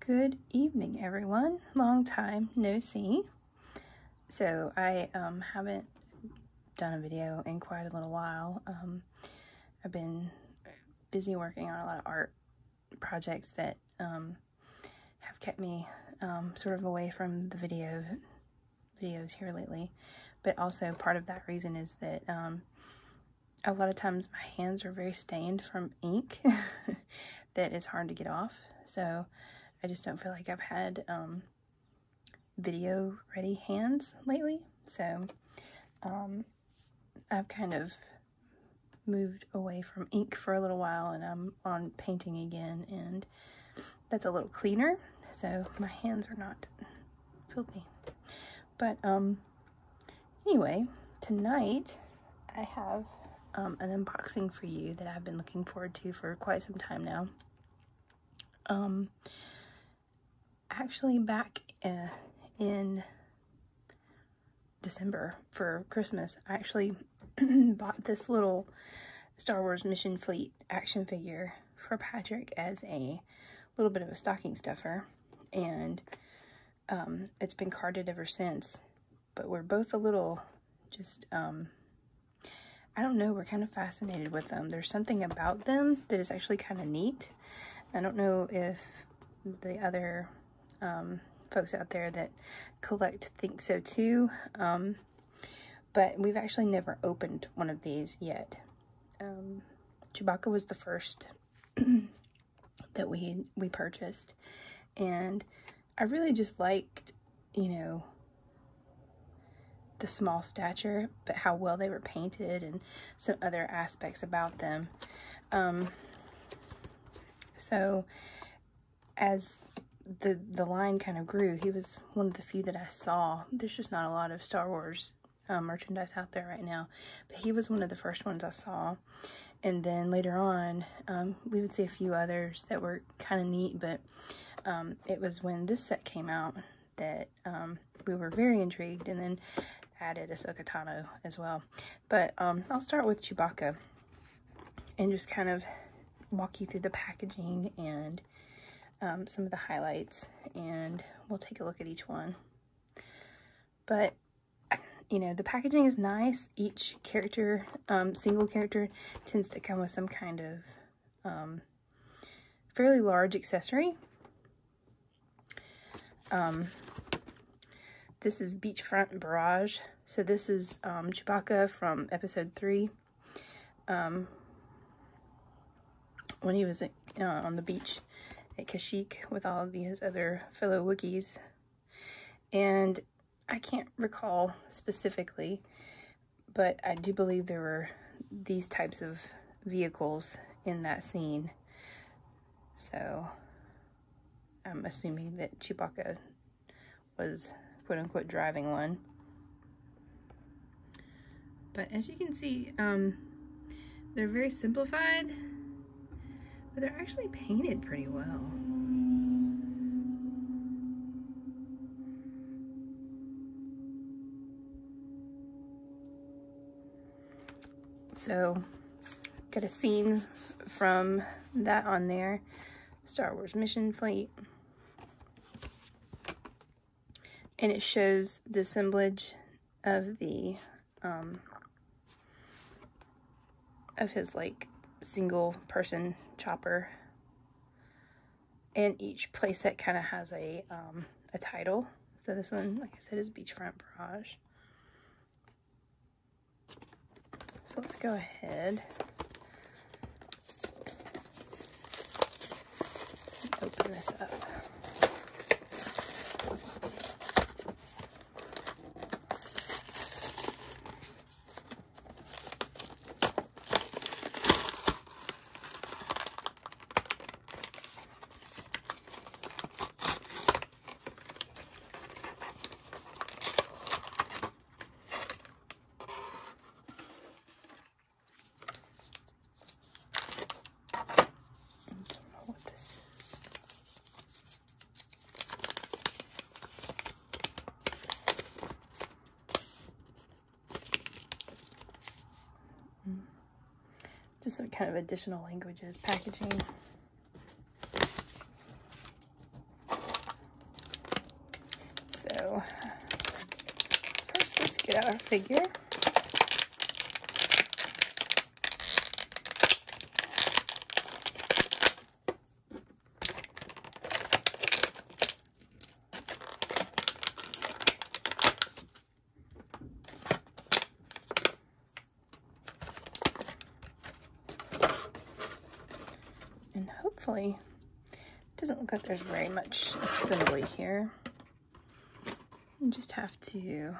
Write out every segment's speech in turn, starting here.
Good evening, everyone. Long time no see. So, I um, haven't done a video in quite a little while. Um, I've been busy working on a lot of art projects that um, have kept me sort of away from the video videos here lately. But also, part of that reason is that a lot of times my hands are very stained from ink that is hard to get off. So I just don't feel like I've had um, video ready hands lately. So um, I've kind of moved away from ink for a little while and I'm on painting again and that's a little cleaner. So my hands are not filthy. But um, Anyway, tonight I have um, an unboxing for you that I've been looking forward to for quite some time now. Um, actually, back uh, in December for Christmas, I actually bought this little Star Wars Mission Fleet action figure for Patrick as a little bit of a stocking stuffer. And um, it's been carded ever since. But we're both a little just, um, I don't know, we're kind of fascinated with them. There's something about them that is actually kind of neat. I don't know if the other um, folks out there that collect think so too, but we've actually never opened one of these yet. Um, Chewbacca was the first. that we we purchased and I really just liked you know the small stature but how well they were painted and some other aspects about them um, so as the the line kind of grew he was one of the few that I saw there's just not a lot of Star Wars uh, merchandise out there right now but he was one of the first ones I saw and then later on, um, we would see a few others that were kind of neat, but um, it was when this set came out that um, we were very intrigued and then added a Tano as well. But I'll start with Chewbacca and just kind of walk you through the packaging and some of the highlights and we'll take a look at each one. But you know, the packaging is nice. Each character, um, single character, tends to come with some kind of um, fairly large accessory. Um, this is Beachfront Barrage. So this is um, Chewbacca from episode 3. when he was uh, on the beach at Kashyyyk with all of his other fellow Wookies. And I can't recall specifically, but I do believe there were these types of vehicles in that scene. So I'm assuming that Chewbacca was quote unquote driving one. But as you can see, um, they're very simplified but they're actually painted pretty well. So, got a scene from that on there. Star Wars Mission Fleet. And it shows the assemblage of the um, of his like single person chopper. And each playset kind of has a, um, a title. So this one, like I said, is Beachfront Barrage. So let's go ahead open this up. I don't know what this is. Mm. Just some kind of additional languages, packaging. So first let's get out our figure. And hopefully, it doesn't look like there's very much assembly here. You just have to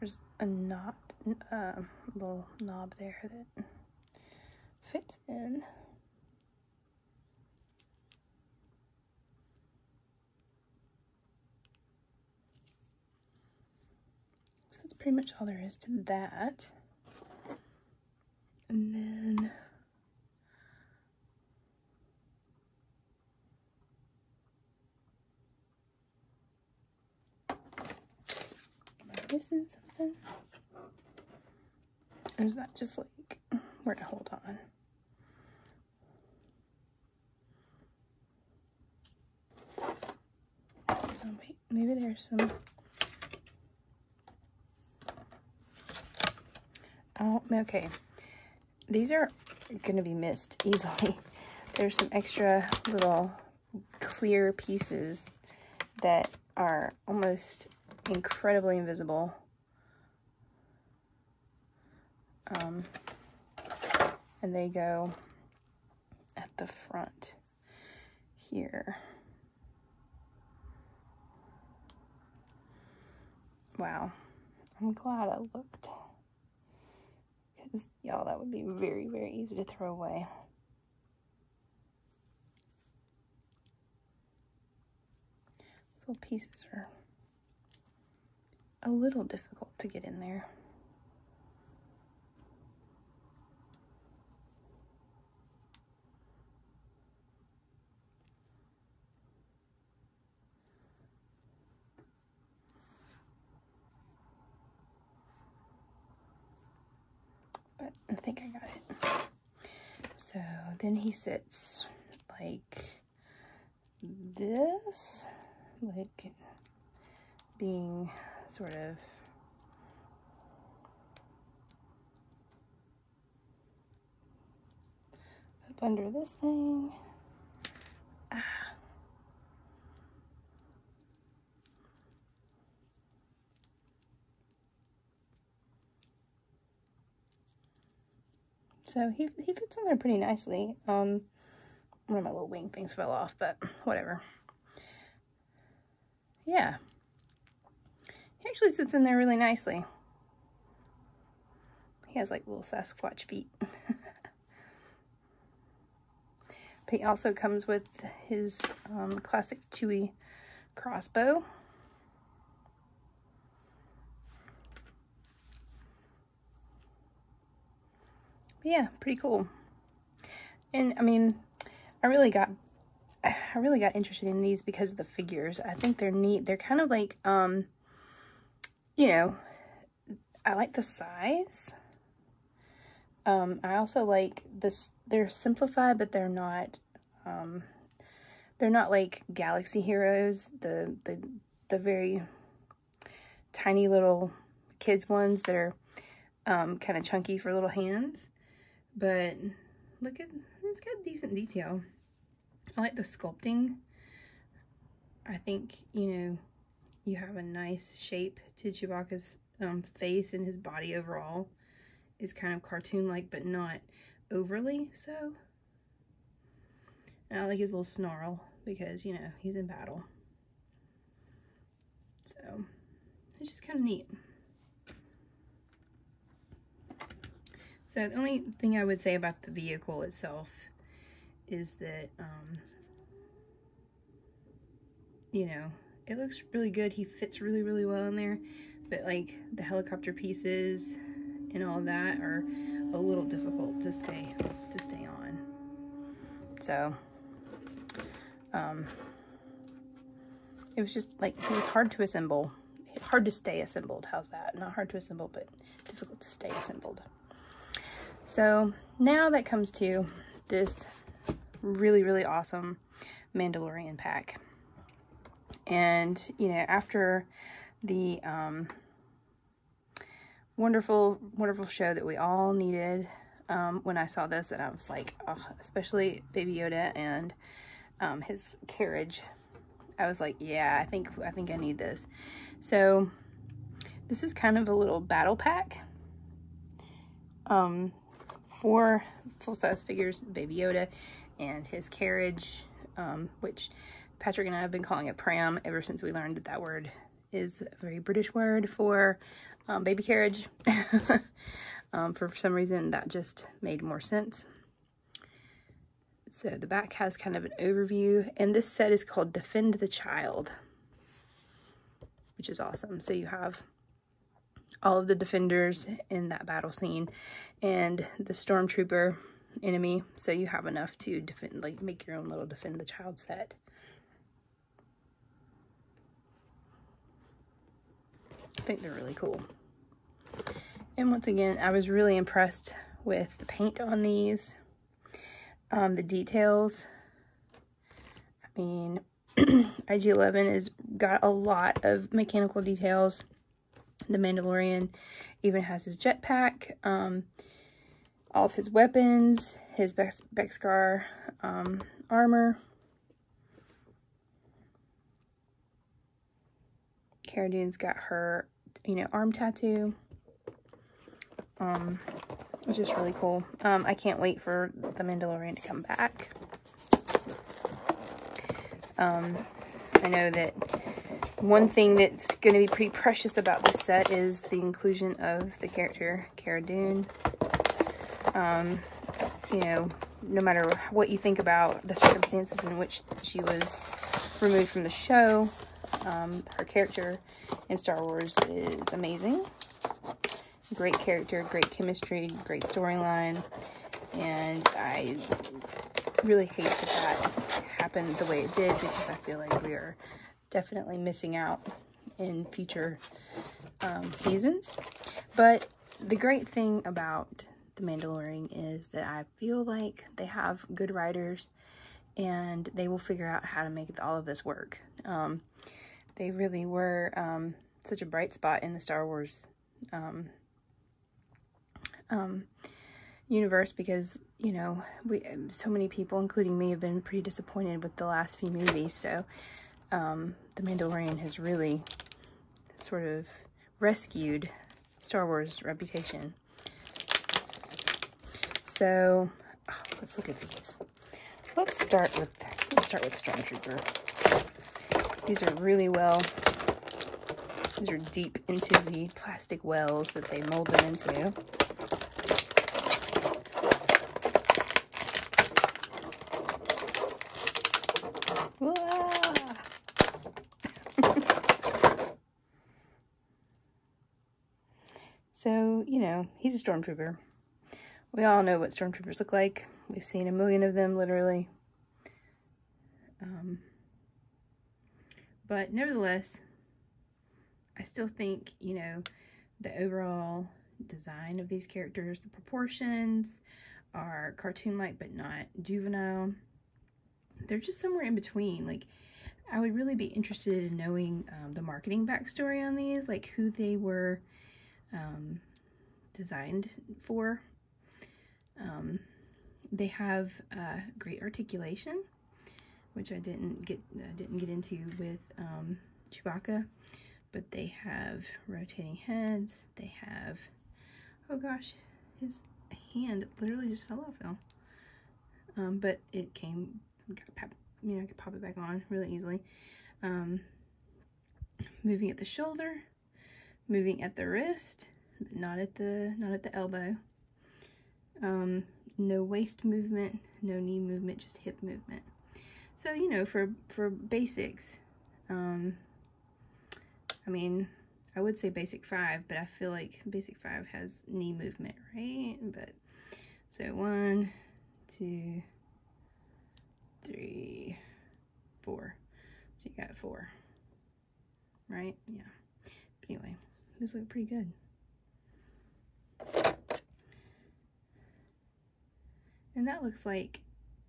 there's a knot, a uh, little knob there that fits in. So that's pretty much all there is to that. And then am I missing something? Or is that just like where to hold on? Oh, maybe there's some. Oh, okay. These are going to be missed easily. There's some extra little clear pieces that are almost incredibly invisible. Um, and they go at the front here. Wow. I'm glad I looked. Because, y'all, that would be very, very easy to throw away. little pieces are a little difficult to get in there. But I think I got it. So then he sits like this, like being sort of up under this thing. Ah. So he, he fits in there pretty nicely. Um, one of my little wing things fell off, but whatever. Yeah. He actually sits in there really nicely. He has like little Sasquatch feet. he also comes with his um, classic Chewy crossbow yeah, pretty cool. And I mean, I really got I really got interested in these because of the figures. I think they're neat. They're kind of like um you know, I like the size. Um I also like this they're simplified but they're not um they're not like galaxy heroes, the the the very tiny little kids ones that are um, kind of chunky for little hands. But look at, it's got decent detail. I like the sculpting. I think, you know, you have a nice shape to Chewbacca's um, face and his body overall is kind of cartoon-like, but not overly so. I like his little snarl because, you know, he's in battle. So it's just kind of neat. So the only thing I would say about the vehicle itself is that, um, you know, it looks really good. He fits really, really well in there, but like the helicopter pieces and all that are a little difficult to stay, to stay on. So um, it was just like, it was hard to assemble. Hard to stay assembled. How's that? Not hard to assemble, but difficult to stay assembled. So now that comes to this really, really awesome Mandalorian pack. And, you know, after the um, wonderful, wonderful show that we all needed. Um, when I saw this and I was like, especially Baby Yoda and um, his carriage. I was like, yeah, I think, I think I need this. So this is kind of a little battle pack. Um, four full-size figures, Baby Yoda and his carriage, um, which Patrick and I have been calling a pram ever since we learned that that word is a very British word for um, baby carriage. Um, for some reason, that just made more sense. So the back has kind of an overview, and this set is called Defend the Child, which is awesome. So you have all of the defenders in that battle scene and the stormtrooper enemy, so you have enough to defend, like make your own little Defend the Child set. I think they're really cool. And once again, I was really impressed with the paint on these, um, the details. I mean, IG-11 has got a lot of mechanical details. The Mandalorian even has his jetpack. Um, all of his weapons, his Bex Bexcar um, armor. Cara Dune's got her, you know, arm tattoo. which um, is really cool. Um, I can't wait for the Mandalorian to come back. I know that one thing that's going to be pretty precious about this set is the inclusion of the character Cara Dune. Um, you know, no matter what you think about the circumstances in which she was removed from the show, um, her character in Star Wars is amazing. Great character, great chemistry, great storyline, and I really hate that that happened the way it did because I feel like we are definitely missing out in future um, seasons. But the great thing about The Mandalorian is that I feel like they have good writers and they will figure out how to make all of this work. Um, they really were um, such a bright spot in the Star Wars universe because, you know, we so many people, including me, have been pretty disappointed disappointed with the last few movies, so um, The Mandalorian has really sort of rescued Star Wars' reputation. So, ah, let's look at these. Let's start with, let's start with Stormtrooper. These are really well, these are deep into the plastic wells that they mold them into. so, you know, he's a stormtrooper. We all know what stormtroopers look like. We've seen a million of them, literally. Um, but nevertheless, I still think, you know, the overall design of these characters, the proportions are cartoon-like but not juvenile. They're just somewhere in between. Like, I would really be interested in knowing um, the marketing backstory on these, like who they were um, designed for. Um, they have uh, great articulation which I didn't get I didn't get into with um, Chewbacca, but they have rotating heads. They have oh gosh, his hand literally just fell off now. Um, but it came, I mean, I could pop it back on really easily. Um, moving at the shoulder, moving at the wrist, not at the not at the elbow. Um, no waist movement, no knee movement, just hip movement. So, you know, for, for basics, um, I mean, I would say basic five, but I feel like basic five has knee movement, right? But so one, two, three, four. So you got four, right? Yeah. anyway, these look pretty good. And that looks like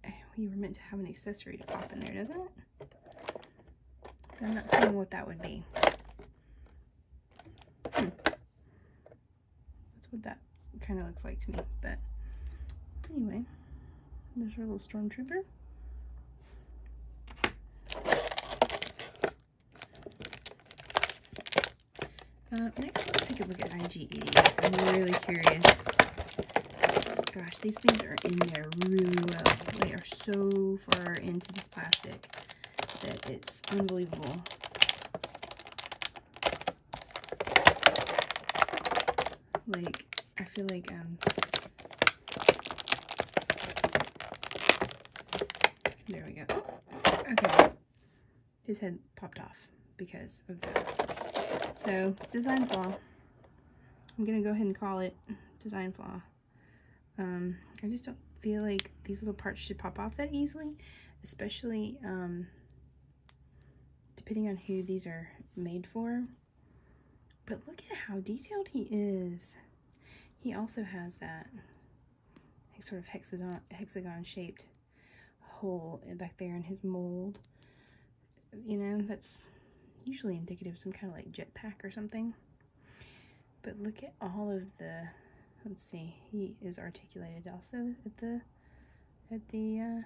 eh, you were meant to have an accessory to pop in there, doesn't it? I'm not seeing what that would be. Hmm. That's what that kind of looks like to me. But anyway, there's our little stormtrooper. Uh, next, let's take a look at IgE. I'm really curious. Gosh, these things are in there really well. They are so far into this plastic that it's unbelievable. Like, I feel like, um, there we go. Okay his head popped off because of that. So, design flaw. I'm gonna go ahead and call it design flaw. Um, I just don't feel like these little parts should pop off that easily, especially um, depending on who these are made for. But look at how detailed he is. He also has that sort of hexagon, hexagon shaped hole back there in his mold. You know, that's usually indicative of some kind of like jetpack or something. But look at all of the, let's see, he is articulated also at the, at the uh,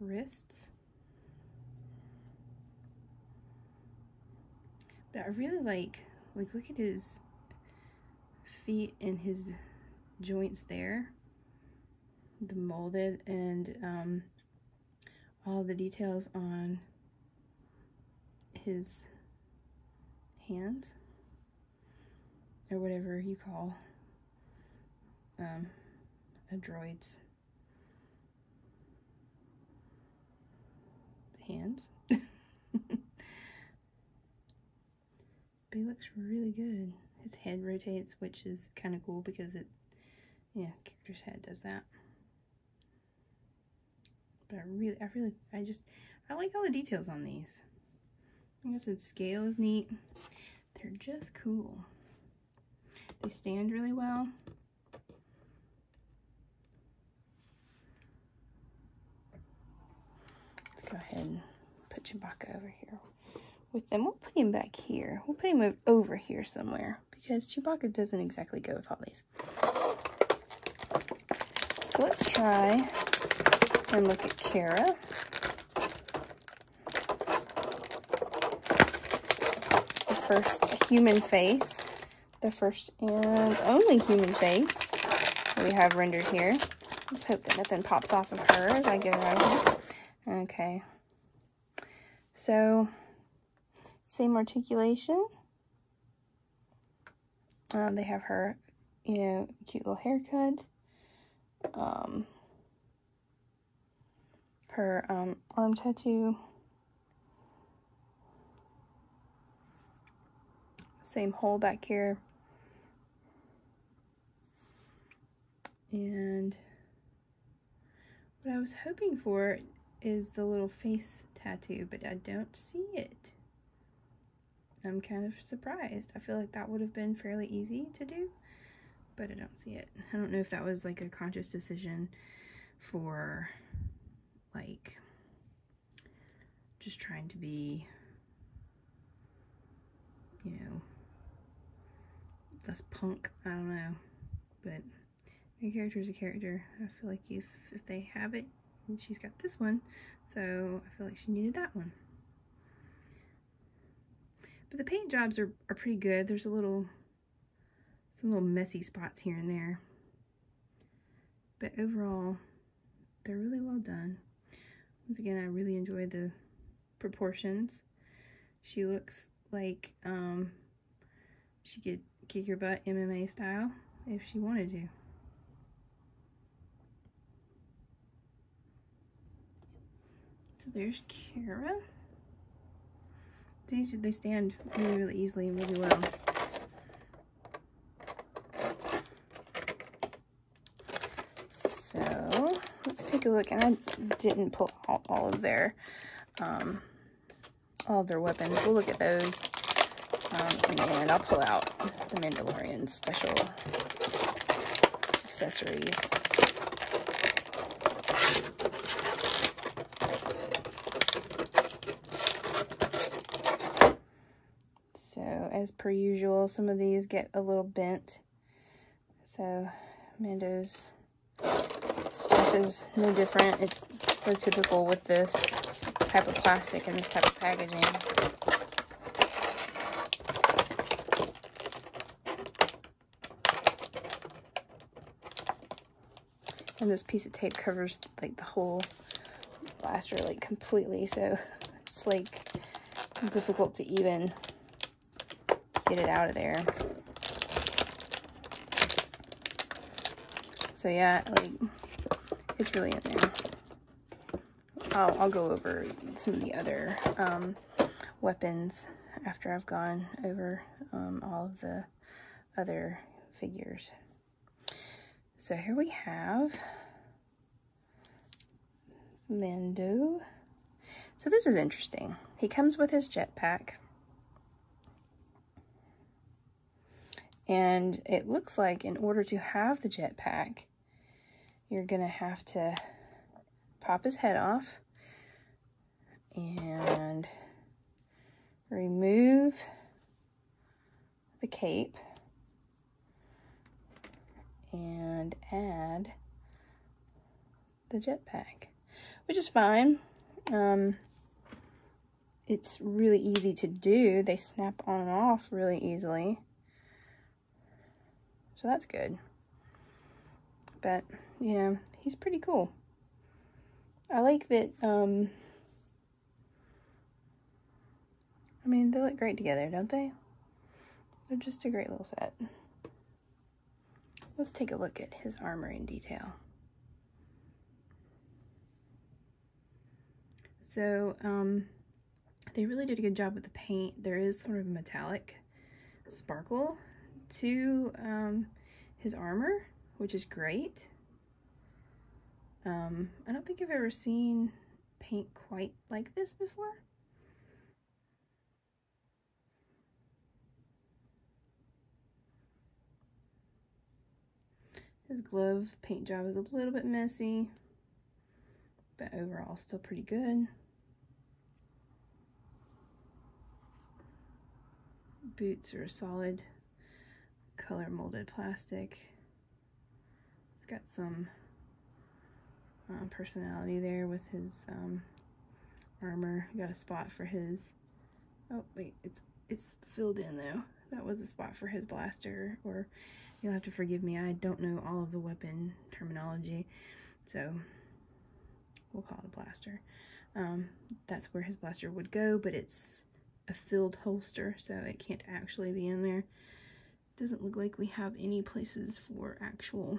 wrists. But I really like, like look at his feet and his joints there, the molded and um, all the details on his hands or whatever you call um, a droid's hands. But he looks really good. His head rotates, which is kind of cool because it, yeah, character's head does that. But I really, I really, I just, I like all the details on these. Like I said, scale is neat. They're just cool. They stand really well. Let's go ahead and put Chewbacca over here with them. We'll put him back here. We'll put him over here somewhere because Chewbacca doesn't exactly go with all these. So let's try and look at Kara. The first human face, the first and only human face we have rendered here. Let's hope that nothing pops off of her as I get right here. Okay. So, same articulation. Um, they have her, you know, cute little haircut. Um, her um, arm tattoo. Same hole back here. And what I was hoping for is the little face tattoo, but I don't see it. I'm kind of surprised. I feel like that would have been fairly easy to do, but I don't see it. I don't know if that was like a conscious decision for like just trying to be you know, that's punk. I don't know. But a character is a character. I feel like if, if they have it, and she's got this one, so I feel like she needed that one. But the paint jobs are, are pretty good. There's a little, some little messy spots here and there. But overall, they're really well done. Once again, I really enjoy the proportions. She looks like um, she could kick your butt MMA style if she wanted to. So there's Kara. They, they stand really easily and really well. So let's take a look. And I didn't pull all, of their um, all their weapons. We'll look at those um, and I'll pull out the Mandalorian special accessories. So as per usual, some of these get a little bent. So Mando's stuff is no different. It's so typical with this type of plastic and this type of packaging. And this piece of tape covers like the whole blaster like completely so it's like difficult to even get it out of there. So yeah, like it's really in there. I'll, I'll go over some of the other um, weapons after I've gone over um, all of the other figures. So here we have Mando. So this is interesting. He comes with his jetpack. And it looks like in order to have the jetpack, you're going to have to pop his head off and remove the cape and add the jetpack, which is fine. Um, it's really easy to do. They snap on and off really easily. So that's good. But, you know, he's pretty cool. I like that, um, I mean, they look great together, don't they? They're just a great little set. Let's take a look at his armor in detail. So, um, they really did a good job with the paint. There is sort of metallic sparkle to um, his armor, which is great. Um, I don't think I've ever seen paint quite like this before. His glove paint job is a little bit messy, but overall still pretty good. Boots are solid color molded plastic. It's got some uh, personality there with his um, armor. Got a spot for his. Oh wait, it's it's filled in though. That was a spot for his blaster. Or you'll have to forgive me. I don't know all of the weapon terminology, so we'll call it a blaster. Um, that's where his blaster would go, but it's a filled holster, so it can't actually be in there doesn't look like we have any places for actual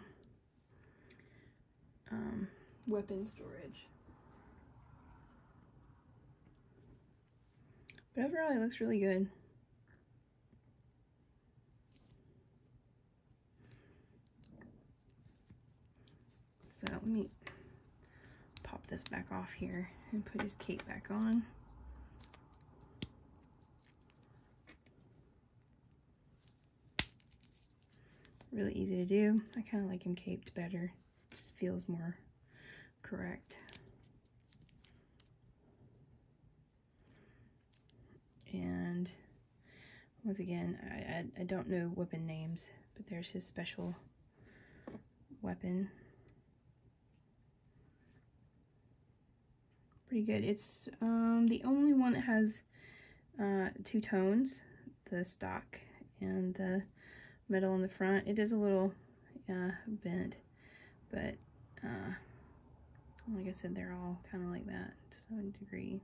um, weapon storage. But overall, it looks really good. So let me pop this back off here and put his cape back on. Really easy to do. I kind of like him caped better. Just feels more correct. And once again, I, I, I don't know weapon names, but there's his special weapon pretty good. It's um, the only one that has uh, two tones, the stock and the metal in the front. It is a little uh, bent, but uh, like I said, they're all kind of like that to degree.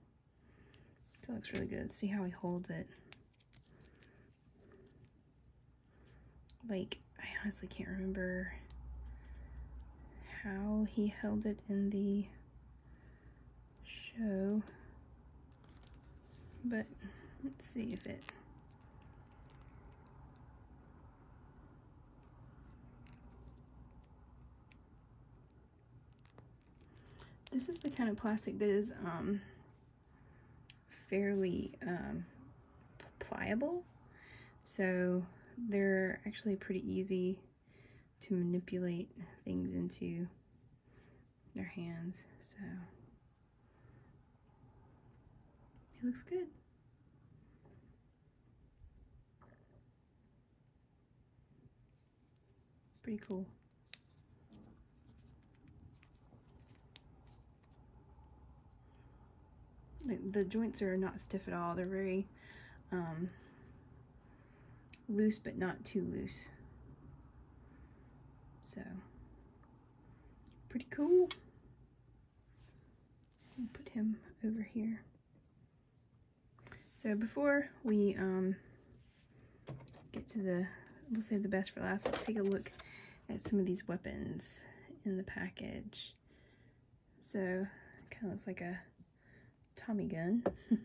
It looks really good. See how he holds it. Like, I honestly can't remember how he held it in the show. But let's see if it This is the kind of plastic that is um, fairly um, pliable. So they're actually pretty easy to manipulate things into their hands. So it looks good. Pretty cool the, joints are not stiff at all. They're very um, loose, but not too loose. So, pretty cool. put him over here. So before we um, get to the, we'll save the best for last, let's take a look at some of these weapons in the package. So, kind of looks like a Tommy gun.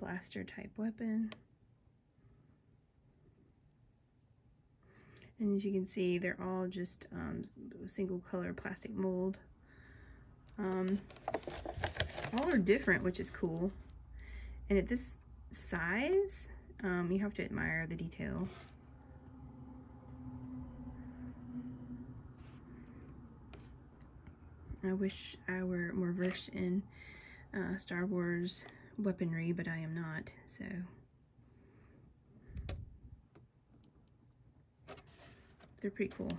blaster type weapon. And as you can see, they're all just um, single color plastic mold. Um, all are different, which is cool. And at this size, um, you have to admire the detail. I wish I were more versed in uh, Star Wars weaponry, but I am not, so... They're pretty cool.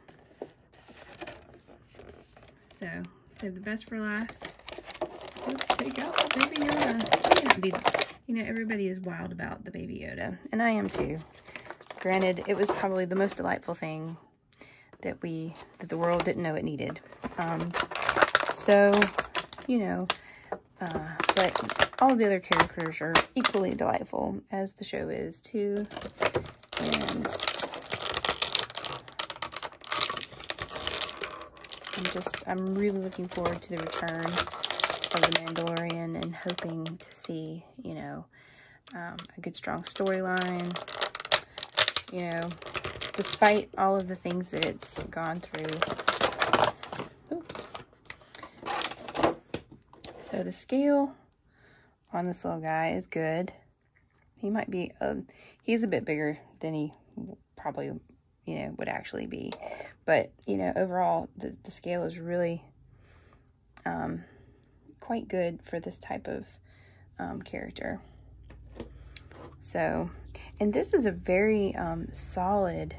So, save the best for last. Let's take out the baby Yoda. You know, everybody is wild about the Baby Yoda, and I am too. Granted, it was probably the most delightful thing that we, that the world didn't know it needed. Um, so, you know, uh, but all the other characters are equally delightful as the show is too. And I'm just, I'm really looking forward to the return of The Mandalorian and hoping to see, you know, um, a good strong storyline. You know, despite all of the things that it's gone through. Oops. So the scale on this little guy is good. He might be, a, um, he's a bit bigger than he probably you know, would actually be. But, you know, overall, the, the scale is really um, quite good for this type of um, character. So, and this is a very um, solid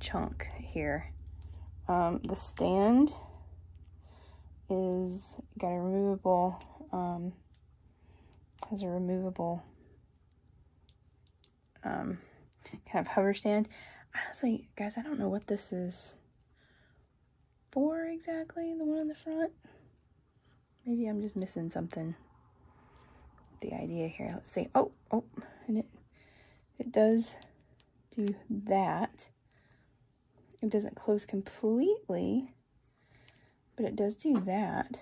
chunk here. Um, the stand is got a removable, um, as a removable um, kind of hover stand. Honestly, guys, I don't know what this is for exactly, the one on the front. Maybe I'm just missing something. The idea here, let's see. Oh, oh, and it, it does do that. It doesn't close completely, but it does do that.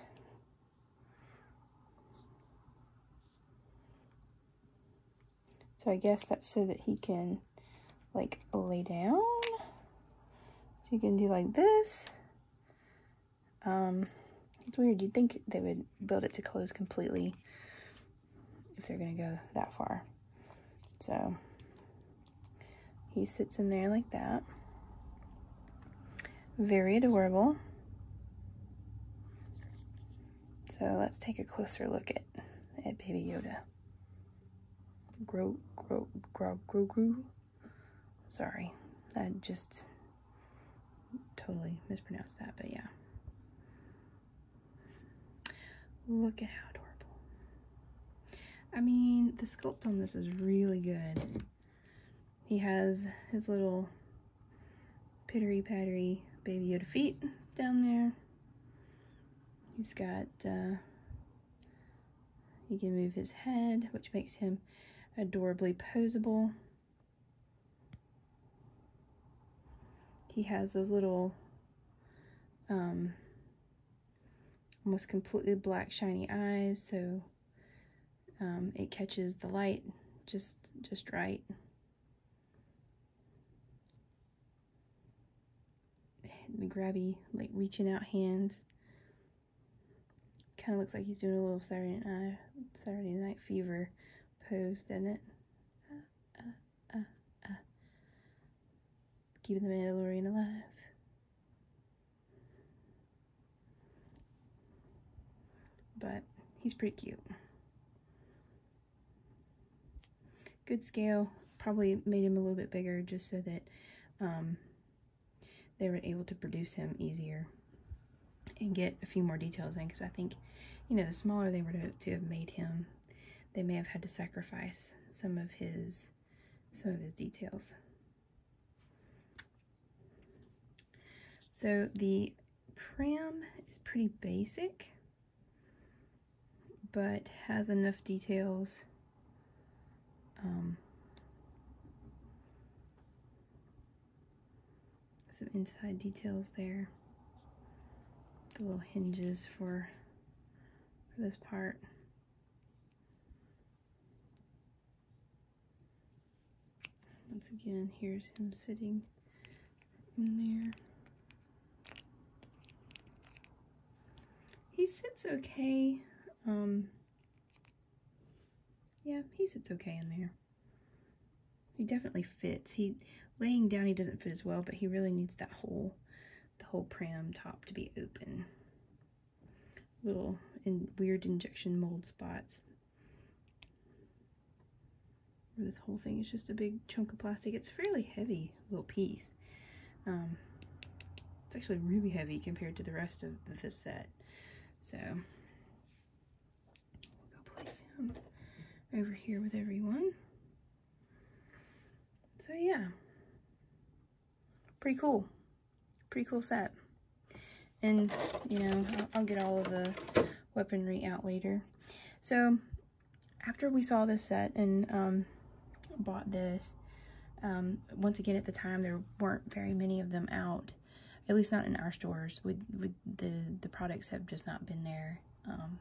So I guess that's so that he can like lay down. So you can do like this. Um, it's weird. You'd think they would build it to close completely if they're going to go that far. So he sits in there like that. Very adorable. So let's take a closer look at, at Baby Yoda. Gro, gro, gro, gro, gro. Sorry, I just totally mispronounced that, but yeah. Look at how adorable. I mean, the sculpt on this is really good. He has his little pittery pattery Baby Yoda feet down there. He's got, uh, he can move his head, which makes him adorably posable. He has those little, um, almost completely black shiny eyes, so um, it catches the light just just right the grabby, like reaching out hands. Kind of looks like he's doing a little Saturday night, Saturday night fever pose, doesn't it? Uh, uh, uh, Keeping the Mandalorian alive. But he's pretty cute. Good scale, probably made him a little bit bigger just so that um, they were able to produce him easier and get a few more details in because I think, you know, the smaller they were to, to have made him, they may have had to sacrifice some of his some of his details. So the pram is pretty basic, but has enough details um, some inside details there. The little hinges for, for this part. Once again, here's him sitting in there. He sits okay. Um, yeah, he sits okay in there. He definitely fits. He laying down, he doesn't fit as well, but he really needs that whole, the whole pram top to be open. Little and weird injection mold spots. This whole thing is just a big chunk of plastic. It's fairly heavy little piece. Um, it's actually really heavy compared to the rest of the set. So we'll go place him over here with everyone. So yeah, pretty cool. Pretty cool set. And, you know, I'll, I'll get all of the weaponry out later. So after we saw this set and um, bought this, um, once again at the time there weren't very many of them out, at least not in our stores. We, the the products have just not been there, um,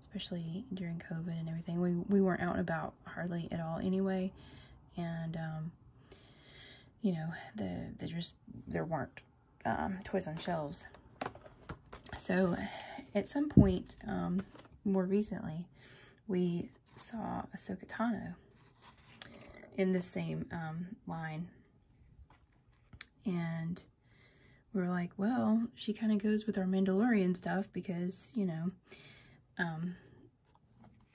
especially during COVID and everything. We we weren't out and about hardly at all anyway, and you know the there just there weren't um, toys on Shelves. So at some point, um, more recently, we saw Ahsoka Tano in the same um, line. And we were like, well, she kind of goes with our Mandalorian stuff because, you know,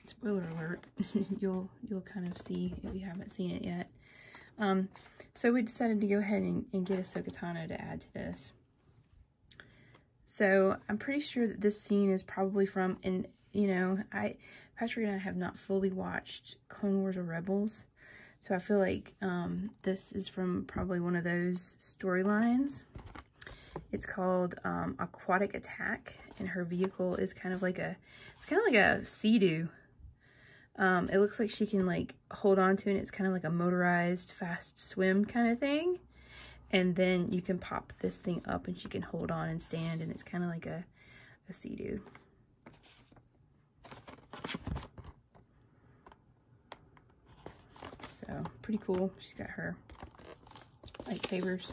spoiler alert, you'll you'll kind of see if you haven't seen it yet. Um, so we decided to go ahead and, get a Sokatano to add to this. So I'm pretty sure that this scene is probably from, and you know, I Patrick and I have not fully watched Clone Wars or Rebels, so I feel like um, this is from probably one of those storylines. It's called um, Aquatic Attack, and her vehicle is kind of like a, it's kind of like a sea doo. it looks like she can like hold on to and it's kind of like a motorized fast swim kind of thing. And then you can pop this thing up and she can hold on and stand and it's kind of like a, a sea-doo. So pretty cool. She's got her light sabers.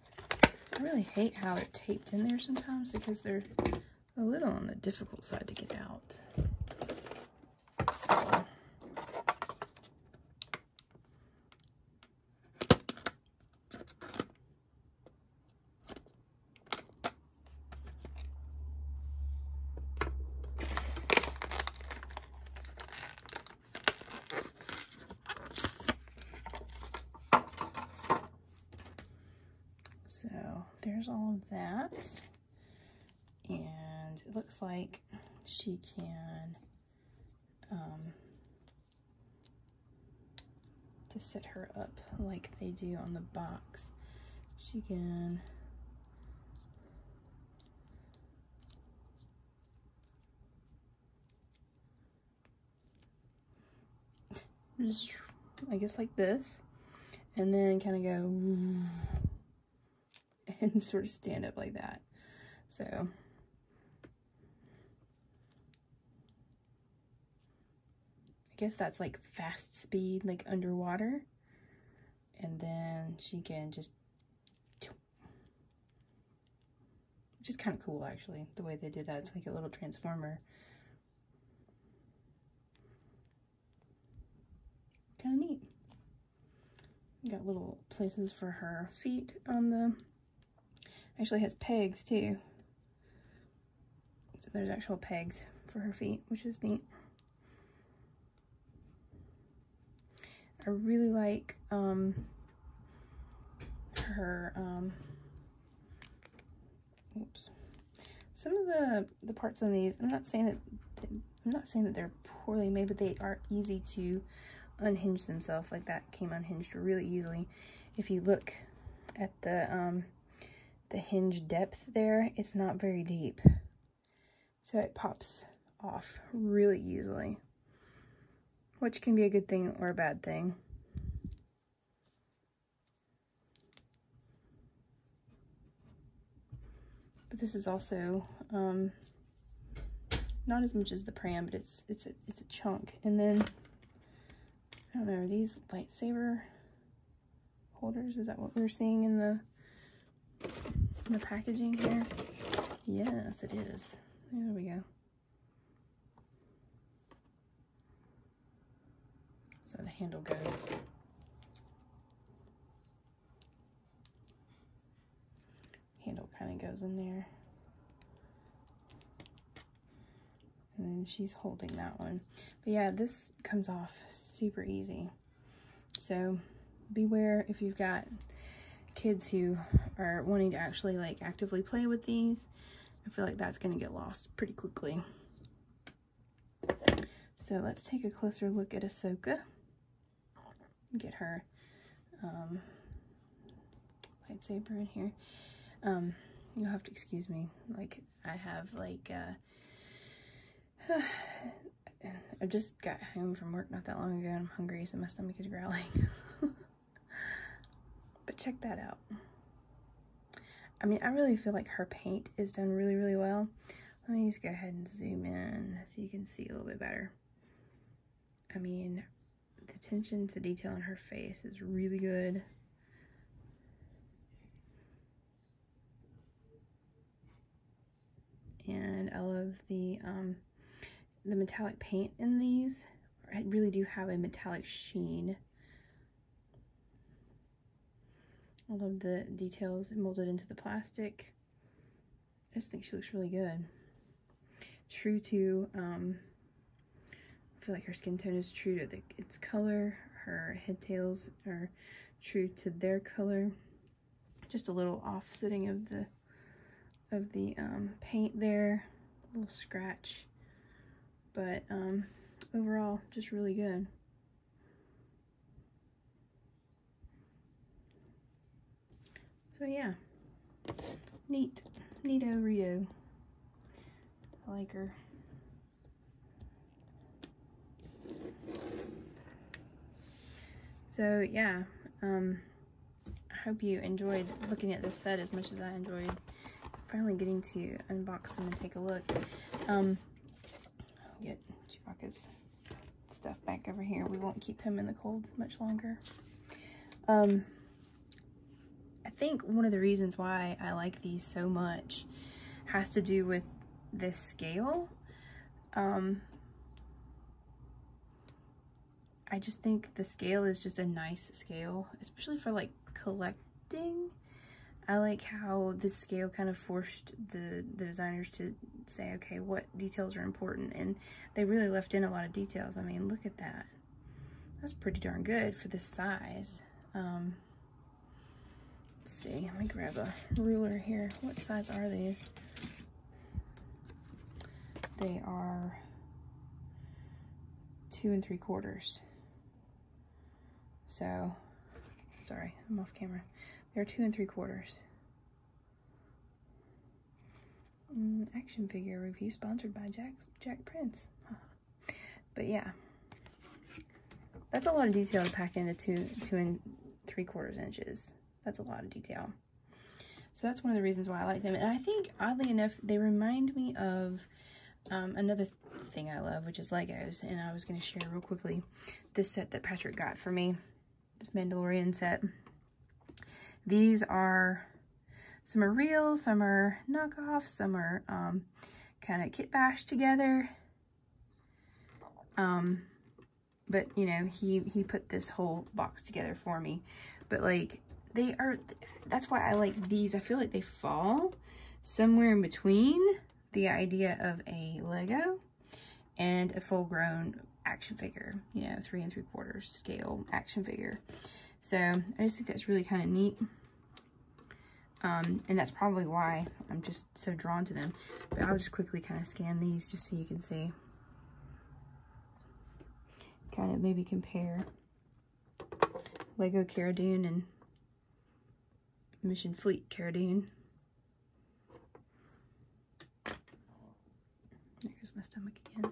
I really hate how they taped in there sometimes because they're a little on the difficult side to get out. So there's all of that. And it looks like she can um, to set her up like they do on the box. She can I guess like this. And then kind of go and sort of stand up like that. So I guess that's like fast speed, like underwater. And then she can just which is kind of cool, actually, the way they did that. It's like a little transformer. Kind of neat. Got little places for her feet on the... Actually has pegs, too. So there's actual pegs for her feet, which is neat. I really like um, her um, Oops. Some of the, the parts on these, I'm not saying that I'm not saying that they're poorly made, but they are easy to unhinge themselves. Like that came unhinged really easily. If you look at the um, the hinge depth there, it's not very deep. So it pops off really easily, which can be a good thing or a bad thing. But this is also um, not as much as the Pram, but it's it's a, it's a chunk. And then I don't know, these lightsaber holders? Is that what we're seeing in the in the packaging here? Yes, it is. There we go. So the handle goes handle kind of goes in there. And then she's holding that one. But yeah, this comes off super easy. So beware if you've got kids who are wanting to actually like actively play with these I feel like that's going to get lost pretty quickly. So let's take a closer look at Ahsoka. Get her um, lightsaber in here. Um, you'll have to excuse me. Like, I have, like, uh, I just got home from work not that long ago and I'm hungry, so my stomach is growling. but check that out. I mean, I really feel like her paint is done really, really well. Let me just go ahead and zoom in so you can see a little bit better. I mean, the attention to detail on her face is really good. And I love the, um, the metallic paint in these. I really do have a metallic sheen. I love the details molded into the plastic. I just think she looks really good. True to, um, I feel like her skin tone is true to the, its color. Her headtails are true to their color. Just a little offsetting of the of the um, paint there, a little scratch but um, overall, just really good. So yeah, neat, neato Rio. I like her. So yeah, um, I hope you enjoyed looking at this set as much as I enjoyed finally getting to unbox them and take a look. Um, get Chewbacca's stuff back over here. We won't keep him in the cold much longer. Um, I think one of the reasons why I like these so much has to do with this scale. Um, I just think the scale is just a nice scale, especially for like collecting. I like how this scale kind of forced the, the designers to say, okay, what details are important? And they really left in a lot of details. I mean, look at that. That's pretty darn good for this size. Um, let's see, let me grab a ruler here. What size are these? They are two and three quarters. So, sorry, I'm off camera. They're two and three quarters. Mm, action figure review sponsored by Jack, Jack Prince. but yeah, that's a lot of detail to pack into two, two and three quarters inches. That's a lot of detail. So that's one of the reasons why I like them. And I think, oddly enough, they remind me of um, another thing I love, which is Legos, and I was going to share real quickly this set that Patrick got for me, this Mandalorian set. These are, some are real, some are knockoff, some are um, kind of kit bashed together. Um, but, you know, he, he put this whole box together for me. But, like, they are, that's why I like these. I feel like they fall somewhere in between the idea of a Lego and a full grown action figure, you know, three and three quarters scale action figure. So I just think that's really kind of neat. Um, and that's probably why I'm just so drawn to them. But I'll just quickly kind of scan these just so you can see. Kind of maybe compare Lego Caradine and Mission Fleet Caradine. There's my stomach again.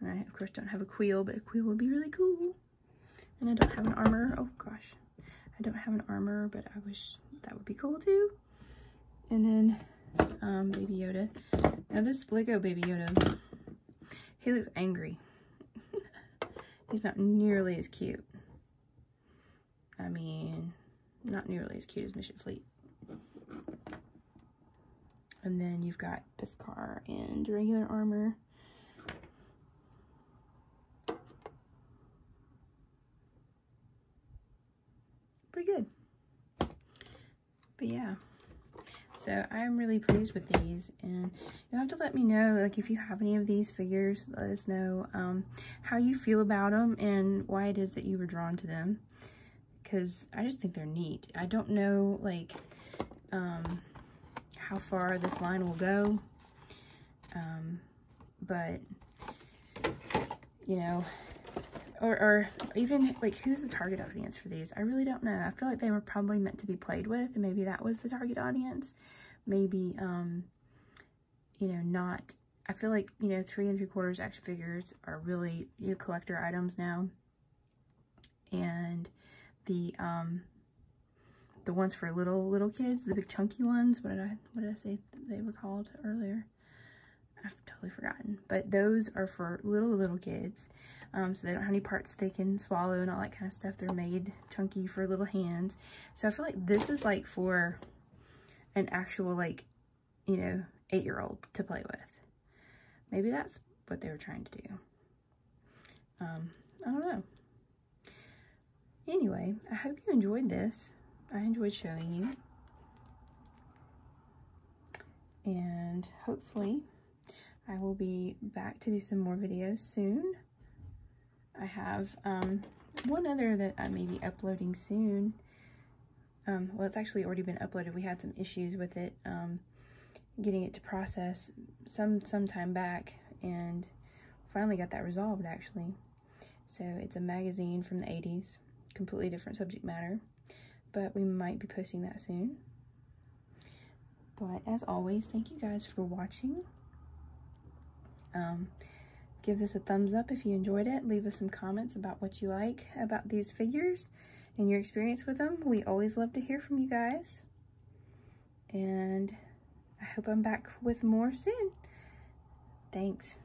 And I, of course, don't have a quill, but a quill would be really cool. And I don't have an armor. Oh, gosh. I don't have an armor, but I wish that would be cool, too. And then um, Baby Yoda. Now this Lego Baby Yoda, he looks angry. He's not nearly as cute. I mean, not nearly as cute as Mission Fleet. And then you've got Piscar and regular armor pretty good. But yeah, so I'm really pleased with these. And you have to let me know, like if you have any of these figures, let us know um, how you feel about them and why it is that you were drawn to them. Because I just think they're neat. I don't know, like, um, how far this line will go. Um, but you know, or, or even like who's the target audience for these? I really don't know. I feel like they were probably meant to be played with, and maybe that was the target audience. Maybe, um, you know, not. I feel like, you know, three and three quarters action figures are really, you know, collector items now. And the, um, the ones for little, little kids, the big chunky ones, what did I, what did I say they were called earlier? I've totally forgotten. But those are for little, little kids. Um, so they don't have any parts they can swallow and all that kind of stuff. They're made chunky for little hands. So I feel like this is like for an actual like, you know, eight-year-old to play with. Maybe that's what they were trying to do. Um, I don't know. Anyway, I hope you enjoyed this. I enjoyed showing you and hopefully I will be back to do some more videos soon. I have um, one other that I may be uploading soon. Um, well, it's actually already been uploaded. We had some issues with it, um, getting it to process some, some time back, and finally got that resolved, actually. So it's a magazine from the 80s, completely different subject matter but we might be posting that soon. But as always, thank you guys for watching. Um, give us a thumbs up if you enjoyed it. Leave us some comments about what you like about these figures and your experience with them. We always love to hear from you guys. And I hope I'm back with more soon. Thanks.